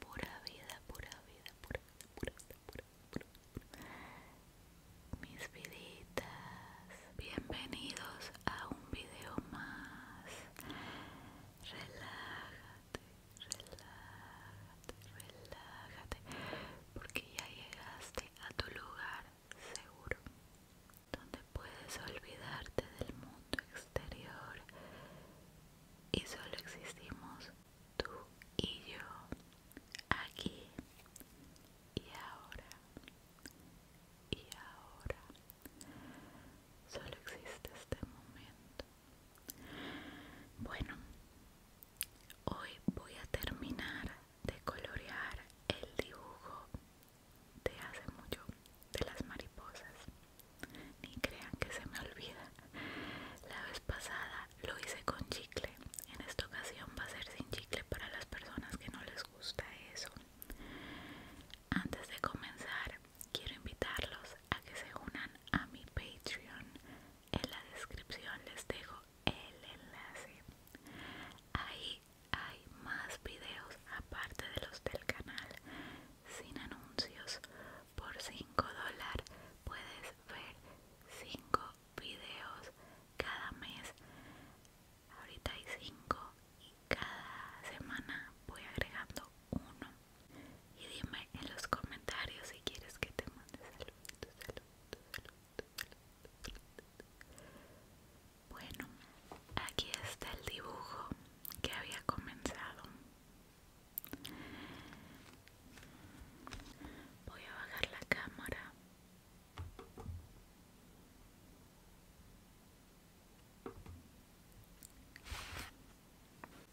Pura vida, pura vida, pura vida, pura vida, pura vida, pura vida. Mis viditas, bienvenidos a un video más. Relájate, relájate, relájate, porque ya llegaste a tu lugar seguro donde puedes olvidarte del mundo exterior y solo existimos tú y yo aquí y ahora y ahora solo existe este momento bueno hoy voy a terminar de colorear el dibujo te hace mucho de las mariposas ni crean que se me olvida la vez pasada lo hice con chicle en esta ocasión va a ser sin chicle para las personas que no les gusta eso antes de comenzar quiero invitarlos a que se unan a mi patreon en la descripción les dejo el enlace ahí hay más videos aparte de los del canal sin anuncios por 5 dólares puedes ver 5 videos cada mes ahorita hay 5 y cada semana voy agregando uno y dime en los comentarios si quieres que te mande bueno, aquí está el dibujo que había comenzado. Voy a bajar la cámara.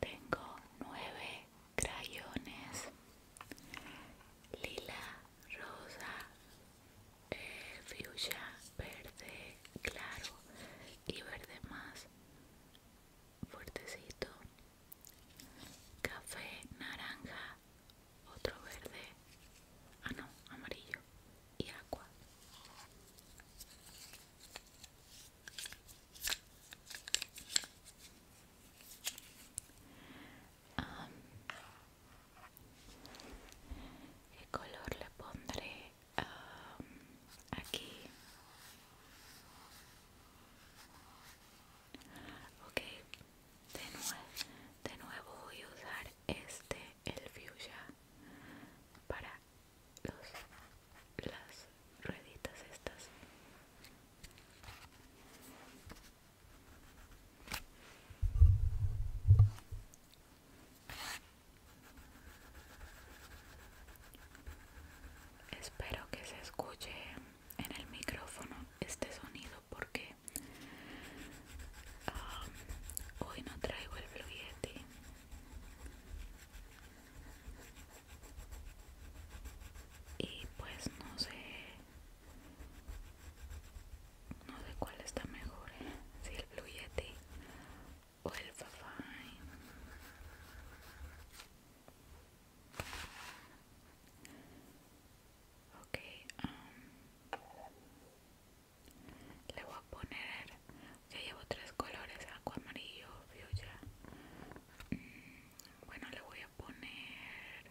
Tengo nueve crayones lila, rosa, eh, verde claro y verde más fuertecito, café, naranja, otro verde, ah no, amarillo y agua. ¿Qué color le pondré um, aquí? Ok, de, nuevo, de nuevo voy a usar este, el fuchsia, para las rueditas estas. Espero que se escuche en el micrófono este sonido porque um, hoy no traigo el Blue Y pues no sé no sé cuál está mejor, ¿eh? si el Blue Yeti o el Fafine. Ok, um, le voy a poner, ya llevo tres colores, agua, amarillo, mm, bueno, le voy a poner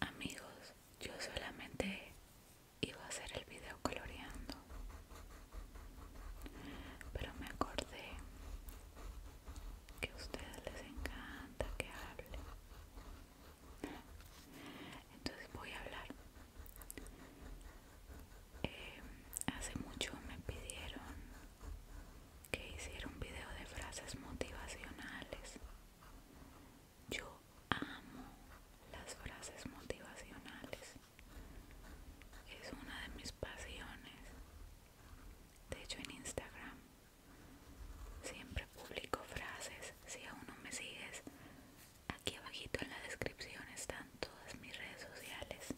Amigos, yo solamente iba a hacer el video coloreando, pero me acordé que a ustedes les encanta que hable. Entonces voy a hablar. Eh, hace mucho me pidieron que hicieron un video de frases motivacionales. Yo amo las frases motivacionales. Es una de mis pasiones. De hecho, en Instagram siempre publico frases. Si aún no me sigues, aquí abajito en la descripción están todas mis redes sociales.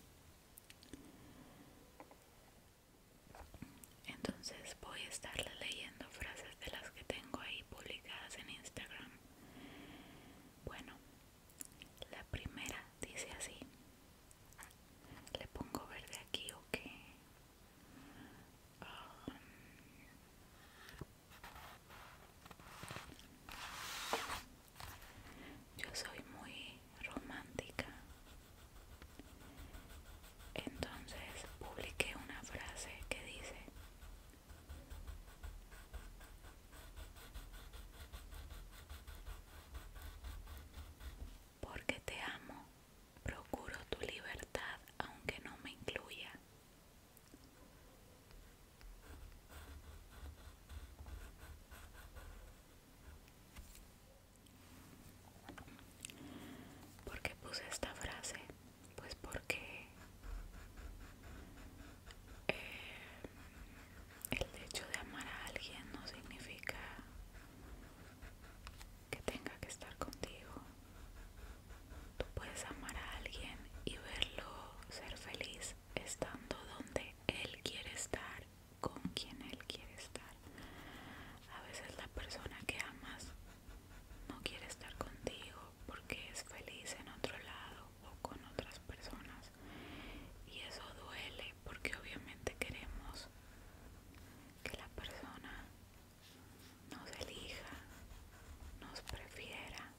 Entonces voy a estarle leyendo frases de las que tengo ahí publicadas en Instagram. Bueno, la primera dice así. Le pongo verde aquí o qué. Um, yo soy muy romántica. Entonces publiqué una frase que dice, porque te amo, procuro tu libertad aunque no me incluya. ¿Por qué puse esta frase? Pues porque eh, el hecho de amar a alguien no significa que tenga que estar contigo. Tú puedes amar a alguien y verlo ser feliz estando donde él quiere estar con quien él quiere estar. A veces la persona que amas no quiere estar contigo porque es feliz en otro lado o con otras personas. Y eso duele porque obviamente queremos que la persona nos elija, nos prefiera,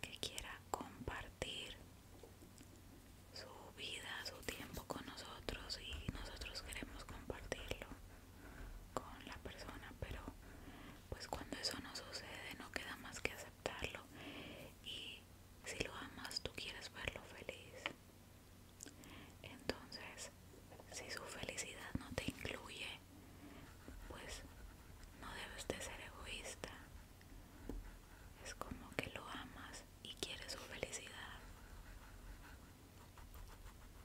que quiera compartir su vida, su tiempo con nosotros y nosotros queremos compartirlo con la persona, pero pues cuando eso no sucede no queda más que aceptarlo y si lo amas tú quieres verlo feliz. Entonces, si su felicidad no te incluye, pues no debes de ser egoísta. Es como que lo amas y quieres su felicidad.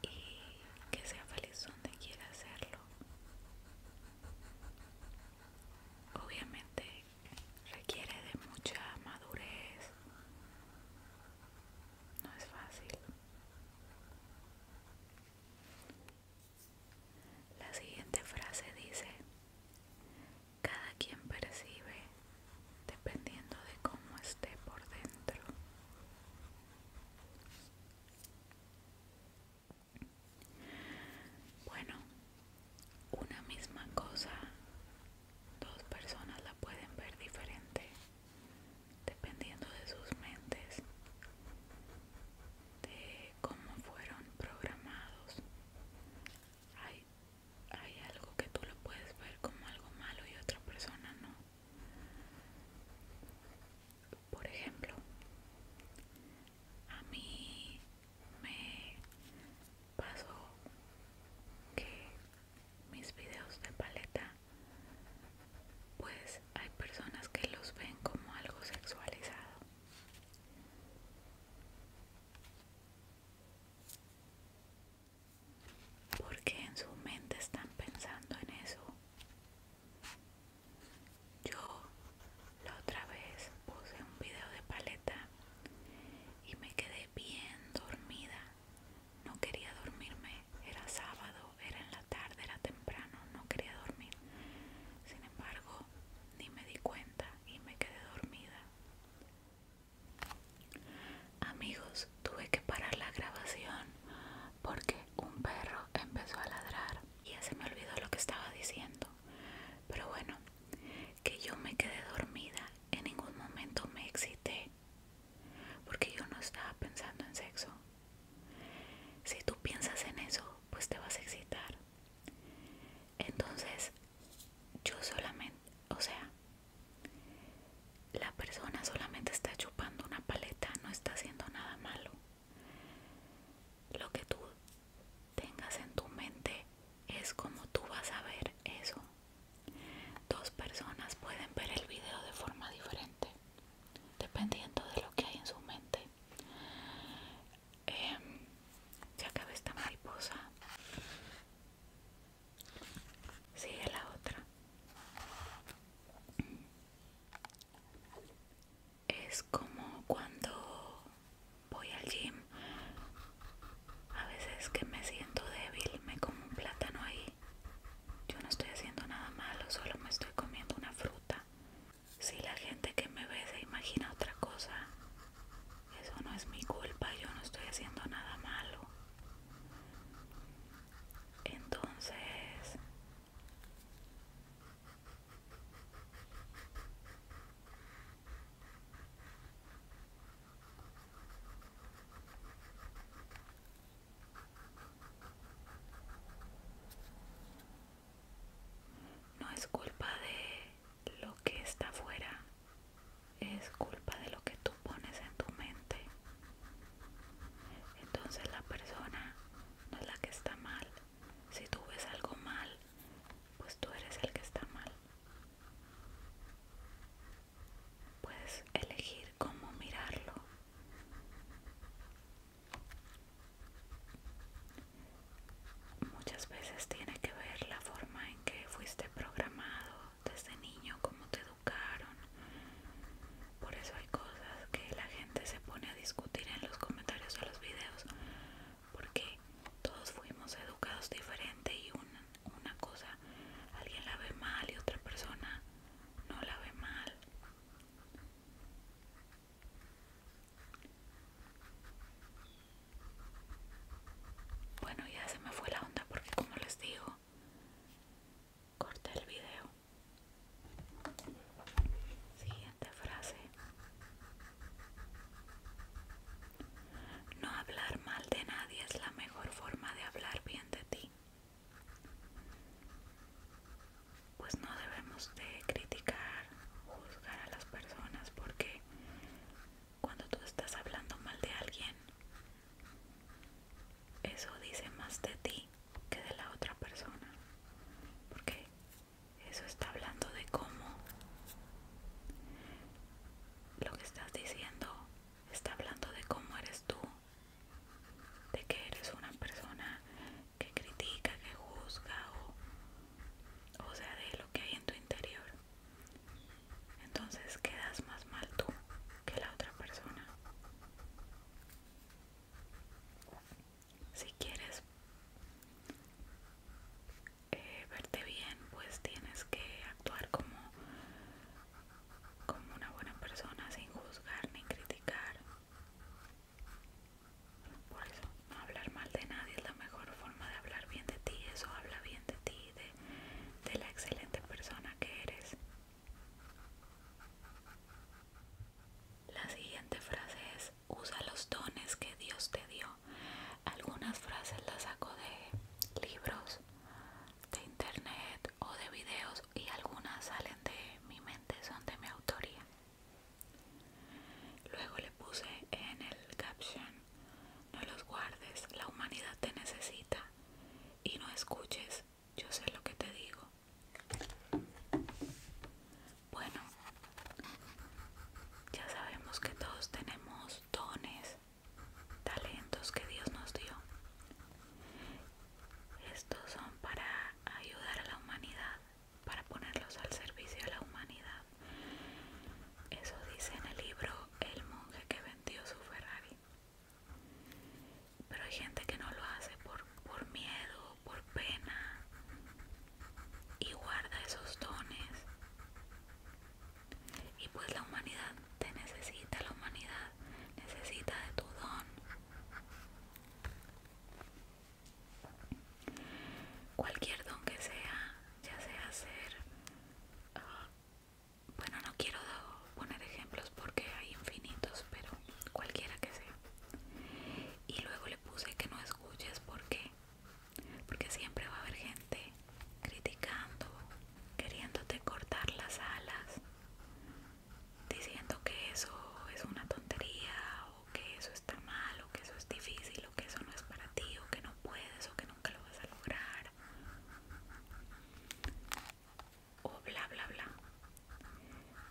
Y que sea feliz donde quiera hacerlo. Obviamente requiere de mucha madurez. No es fácil. La siguiente frase dice, cada quien percibe dependiendo de cómo esté por dentro. Bueno, una misma cosa, dos personas la pueden ver diferente dependiendo de sus mentes, de cómo fueron programados hay algo que tú lo puedes ver como algo malo y otra persona no. Por ejemplo, a mí me pasó que mis videos de paleta, pues hay personas que los ven como algo sexualizado porque en su mente están pensando en eso. Yo la otra vez puse un video de paleta y me quedé bien dormida. No quería dormirme, era sábado, era en la tarde, era temprano, no quería dormir. Sin embargo, ni me di cuenta y me quedé dormida. Amigos, tuve que parar la grabación porque un perro empezó a ladrar y ya se me olvidó lo que estaba diciendo. Pero bueno, que yo me quedé dormida, en ningún momento me excité porque yo no estaba pensando en sexo. Si tú piensas en eso, pues te vas a excitar. Entonces, yo solamente, o sea, la persona solamente está chupando una paleta, no está haciendo nada malo. Lo que tú tengas en tu mente es como tú vas a ver eso. Dos personas pueden ver el video de forma diferente, dependiendo de lo que hay en su mente. Ya em, ya esta mariposa sigue la otra es como cuando voy al gym a veces que me siento débil me como un plátano ahí yo no estoy haciendo nada malo solo me estoy comiendo una fruta si la gente que me ve se imagina otra cosa, eso no es mi culpa, yo no estoy haciendo nada malo. Entonces, no es culpa de lo que está fuera, es culpa de lo que tú pones en tu mente. Entonces la persona no es la que está mal. Si tú ves algo mal, pues tú eres el que está mal. Puedes elegir cómo mirarlo. Muchas veces tiene que ver la forma en que fuiste programado desde niño, cómo te educaron. Por eso hay cosas que la gente se pone a discutir en los comentarios de los videos, porque todos fuimos educados diferente y una cosa, alguien la ve mal y otra persona no la ve mal. Bueno, ya se me fue la onda porque como les digo, corté el video. Siguiente frase. No hablar mal de nadie es la mejor forma de hablar bien de ti. Pues no debemos de criticar juzgar, a las personas porque cuando tú estás hablando mal de alguien, eso dice más de ti que de la otra persona. Porque eso está hablando de cómo lo que estás diciendo está hablando de cómo eres tú, de que eres una persona que critica, que juzga o, sea de lo que hay en tu interior. Entonces quedas más mal tú que la otra persona. Si quieres eh, verte bien, pues tienes que actuar como, como una buena persona sin juzgar ni criticar por eso, no hablar mal de nadie es la mejor forma de hablar bien de ti. Eso habla bien de ti, de, de la excelente persona que eres. La siguiente frase es, usa los dones que Dios te dio. Algunas frases las saco de libros, de internet o de videos y algunas salen de mi mente, son de mi autoría. Luego le puse en el caption, no los guardes, la humanidad te necesita y no escuches, yo sé lo que te digo. Bueno, ya sabemos que todos tenemos dones, talentos que Dios nos dio. Estos son para ayudar a la humanidad para ponerlos al servicio de la humanidad. Eso dice en el libro El monje que vendió su Ferrari. Pero hay gente que no lo hace por, por miedo, por pena y guarda esos dones. Y pues la humanidad te necesita, la humanidad necesita de tu don. Cualquier don que sea, ya sea ser... Ah, bueno, no quiero poner ejemplos porque hay infinitos, pero cualquiera que sea. Y luego le puse que no escuches porque porque siempre va a haber gente criticando, queriéndote cortar las alas, diciendo que eso es una tontería que eso está mal o que eso es difícil o que eso no es para ti o que no puedes o que nunca lo vas a lograr o bla bla bla.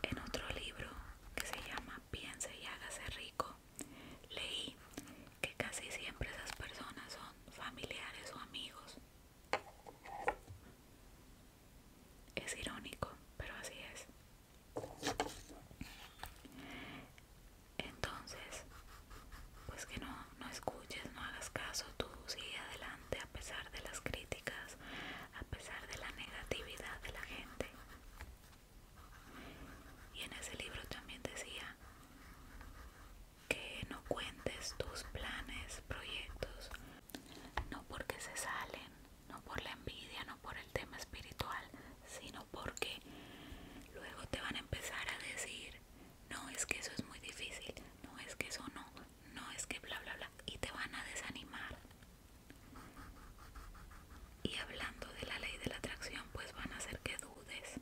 En otro libro que se llama Piense y hágase rico, leí que casi siempre esas personas son familiares o amigos. Es irónico, pero así es. Entonces, pues que no, escuches, no hagas caso, tú sigue adelante a pesar de las críticas, a pesar de la negatividad de la gente. Y en ese libro también decía que no cuentes tus planes, proyectos, no porque se salen no por la envidia, no por el tema espiritual, sino porque luego te van a empezar a decir, no es que eso es muy difícil, no es que eso no, no es que bla, bla, bla, y te van a desanimar. Y hablando de la ley de la atracción, pues van a hacer que dudes.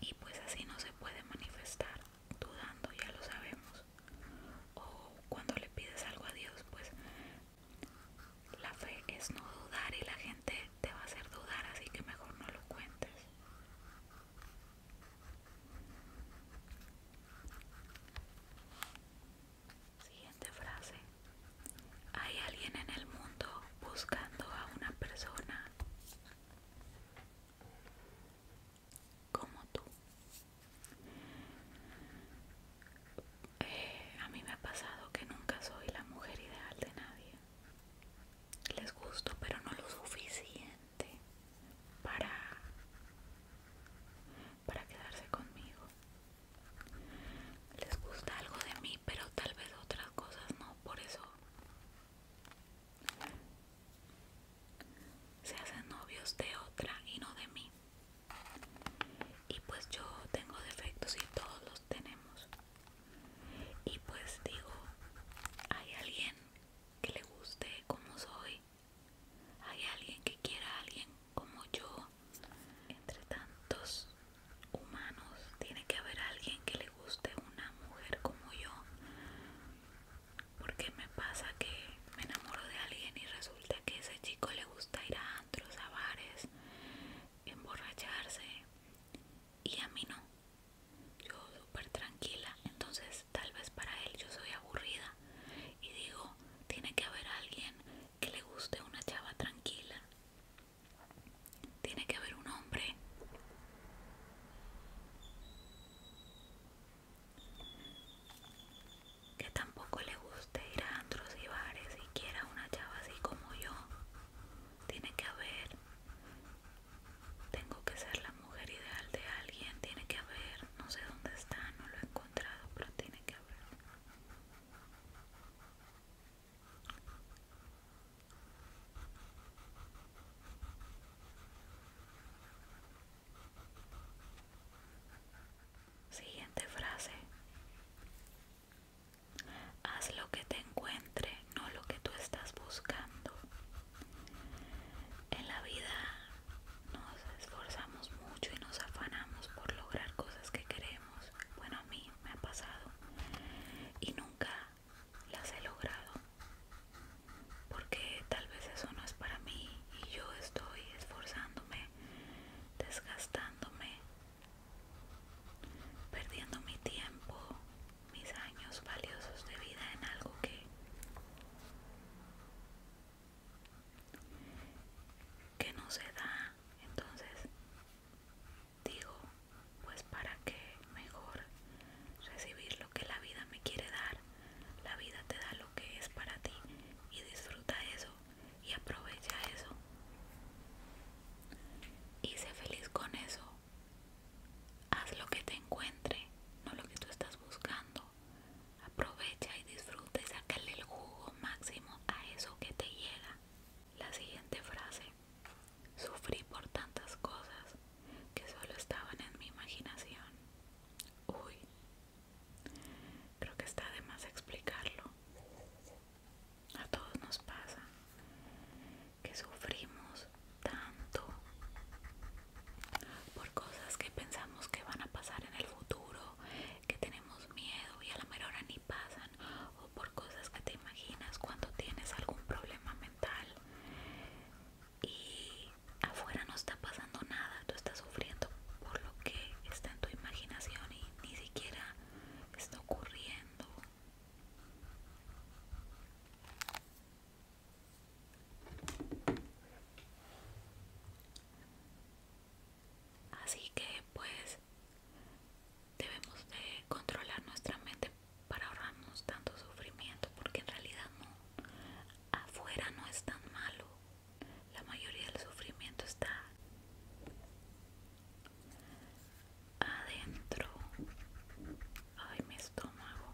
Y pues así no se puede manifestar dudando, ya lo sabemos. O cuando le pides algo a Dios, pues la fe es no dudar y la gente te va a hacer dudar, así que mejor no lo cuentes. Siguiente frase. Hay alguien en el mundo buscando a una persona como tú. Eh, a mí me ha pasado que nunca soy la mujer ideal de nadie. Les gusto, pero no lo suficiente para, para quedarse conmigo. Les gusta algo de mí, pero tal vez otras cosas no. Por eso se hacen novios de otra y no de mí y pues yo tengo defectos y todos los tenemos y pues digo hay alguien que le guste como soy hay alguien que quiera a alguien como yo entre tantos humanos tiene que haber alguien que le guste una mujer como yo porque me pasa que me enamoro de alguien y resulta que ese chico le gusta ir a antros, a bares, emborracharse y a mí no. Yo súper tranquila, entonces tal vez para él yo soy aburrida y digo, tiene que haber alguien que le guste una chava tranquila. Tiene que haber un hombre que tampoco le guste ir a antros y bares y quiera una chava así como yo. Tiene que haber, tengo que ser la mujer ideal de alguien, tiene que haber, no sé dónde está, no lo he encontrado, pero tiene que haber. Siguiente frase. Haz lo que te encuentre, no lo que tú estás buscando. En la vida nos esforzamos mucho y nos afanamos por lograr cosas que queremos. Bueno, a mí me ha pasado y nunca las he logrado. Porque tal vez eso no es para mí y yo estoy esforzándome desgastándome, perdiendo mi tiempo, mis años valiosos de vida en algo que, que no se da. Entonces digo, pues para qué mejor recibir lo que la vida me quiere dar la vida te da lo que es para ti y disfruta eso y aprovecha eso. Y sé feliz con eso. Haz lo que te encuentre, no lo que tú estás buscando. Aprovecha y disfruta y sácale el jugo máximo a eso que te llega. La siguiente frase. Sufrí por tantas cosas que solo estaban en mi imaginación. Uy, Creo que está de más explicarlo. A todos nos pasa que sufrimos tanto por cosas que pensamos que van a pasar en el futuro, que tenemos miedo y a la mejor hora ni pasan, o por cosas que te imaginas cuando tienes algún problema mental y afuera no está pasando nada, tú estás sufriendo por lo que está en tu imaginación y ni siquiera está ocurriendo. Así que pues debemos de controlar nuestra mente para ahorrarnos tanto sufrimiento porque en realidad no afuera no es tan malo la mayoría del sufrimiento está adentro. Ay, mi estómago.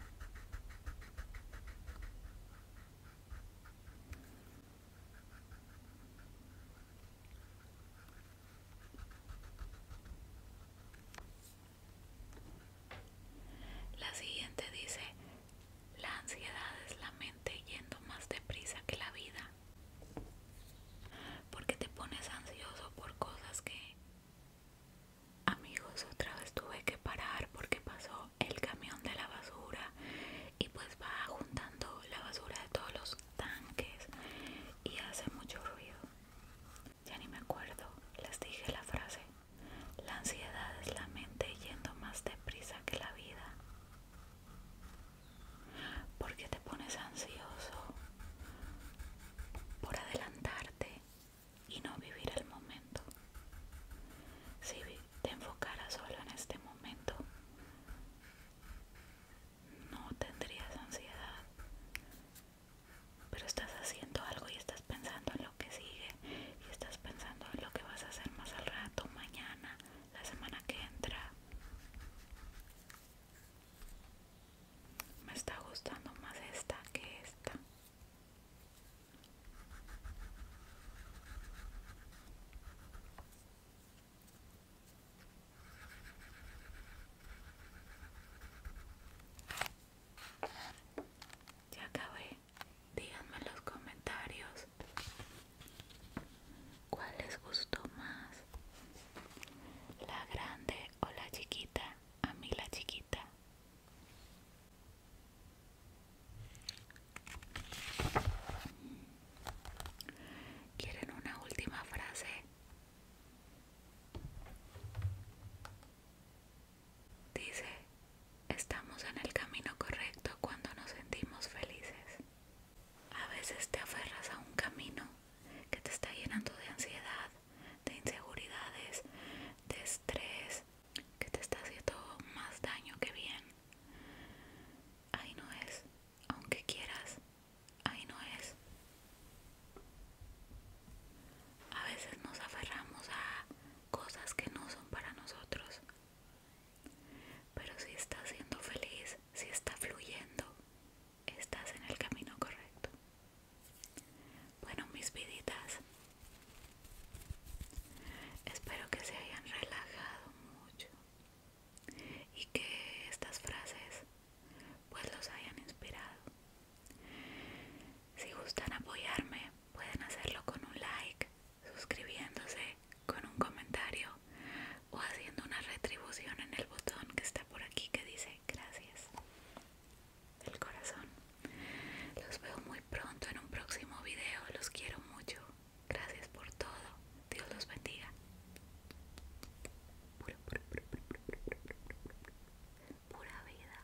La siguiente dice, la ansiedad es la mente yendo más deprisa que la vida. Porque te pones ansioso por cosas que... Amigos, otra vez tuve que parar porque pasó el camión de la basura y pues va juntando la basura de todos los tanques y hace mucho ruido. Ya ni me acuerdo, les dije la frase. La ansiedad es la mente yendo más deprisa que la vida. porque te pones ansioso por adelantarte y no vivir el momento? Si te enfocaras solo en este momento, no tendrías ansiedad. Pero estás haciendo algo y estás pensando en lo que sigue y estás pensando en lo que vas a hacer más al rato, mañana, la semana que entra. Me está gustando más esta que esta. Ya acabé. Díganme en los comentarios cuál les gustó más, la grande o la chiquita. A mí la chiquita. ¿Quieren una última frase? Dice, estamos en el camino correcto cuando nos sentimos felices. A veces te aferras a un camino que te está llenando de ansiedad, de inseguridades, de estrés, que te está haciendo más daño que bien. Ahí no es, aunque quieras, ahí no es. A veces nos aferramos a cosas que no son para nosotros. Pero si estás siendo feliz, si está fluyendo, estás en el camino correcto. Bueno, mis viditas, espero que se hayan relajado mucho y que estas frases pues los hayan inspirado. Si gustan apoyarme, Pueden hacerlo con un like, suscribiéndose, con un comentario o haciendo una retribución en el botón que está por aquí que dice gracias. El corazón. Los veo muy pronto en un próximo video. Los quiero mucho. Gracias por todo. Dios los bendiga. Pura vida.